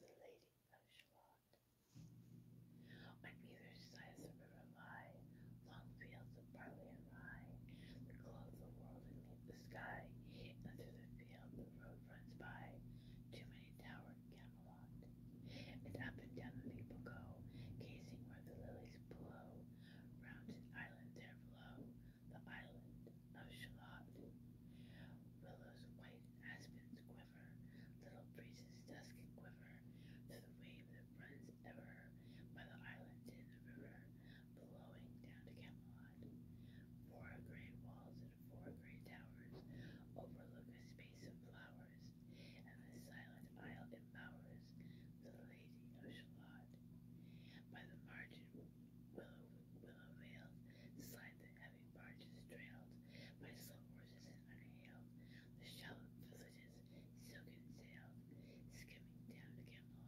The Lady of Shalott. On either side of the river lie long fields of barley and rye that clothe the world and meet the sky. And through the field the road runs by to many towered Camelot. And up and down the people go, gazing where the lilies blow. Round an island there below, the island of Shalott. Willows white, aspens quiver, little breezes dusk and quiver, to the wave that runs ever by the island in the river, blowing down to Camelot. Four great walls and four great towers overlook a space of flowers, and the silent isle embowers the crazy nonchalant. By the margin, willow, willow veils slide the heavy barges trailed by slow horses and unhailed. The shallow villages, silken sailed, skimming down to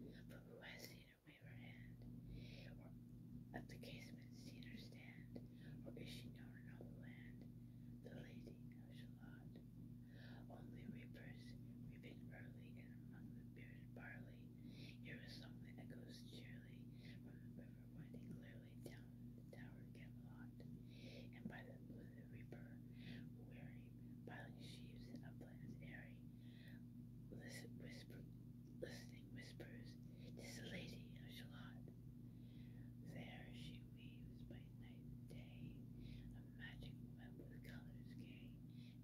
Camelot. But who has seen her wave her hand, or at the casement seen her stand, or is she known in all the land? The lady Nonchalant. Only reapers, reaping early and among the bearded barley, hear a song that echoes cheerily from the river winding clearly down the towered Camelot, and by the blue the reaper, weary, piling sheaves in uplands airy, listen, whisper, listening whispers, 'tis the lady of Shalott. There she weaves by night and day, a magic web with colors gay.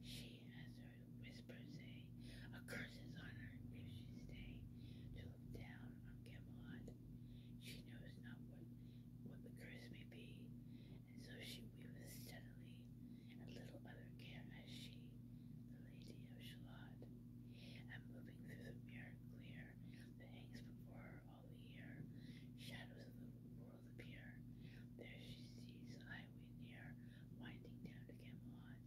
She has heard whispers say, eh? a curse is on her if she stay Till look down on Camelot. She knows not what what the curse may be, and so she weaveth steadily, and little other care as she, the Lady of Shalott. And moving through the mirror clear, fire that hangs before her all the year. Shadows of the world appear. There she sees a highway near, winding down to Camelot.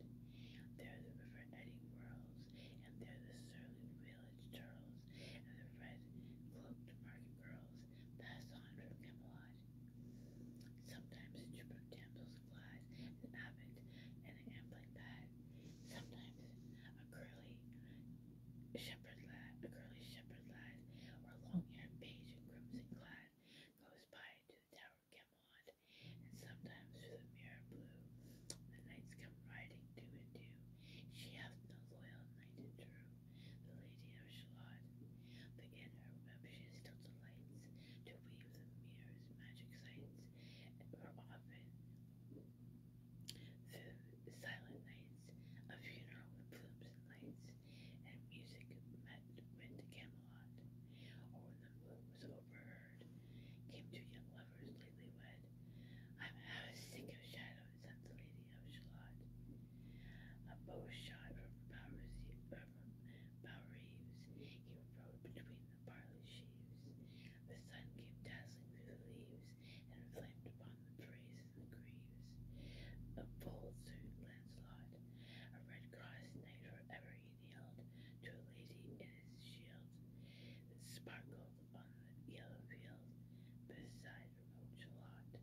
There the river eddy whirls, and there the surly village turtles, and the red-cloaked market girls pass on from Camelot. Sometimes a troop of damsels glides, an abbot, and an ambling path. Sometimes a curly shepherd lad, a curly shepherd lad, or long-haired page in crimson clad, goes by to the tower of Camelot, and sometimes through the mirror blue, the knights come riding two and two. She hath no loyal knight and true, the lady of Shalott, but in her web she still delights to weave the mirror's magic sights were often food, silent nights, a funeral with plumes and lights, and music met went to Camelot, or when the moon was overheard, came two young lovers lately wed. I'm half sick of shadows, said the Lady of Shalott. A bow shot from Powers, uh, Balreeves. He rode between the barley sheaves. The sun came dazzling through the leaves and flamed upon the braes and the greaves. A bold Sir Lancelot, a red cross knight forever he kneeled to a lady in his shield that sparkled on the yellow field beside remote Shalott.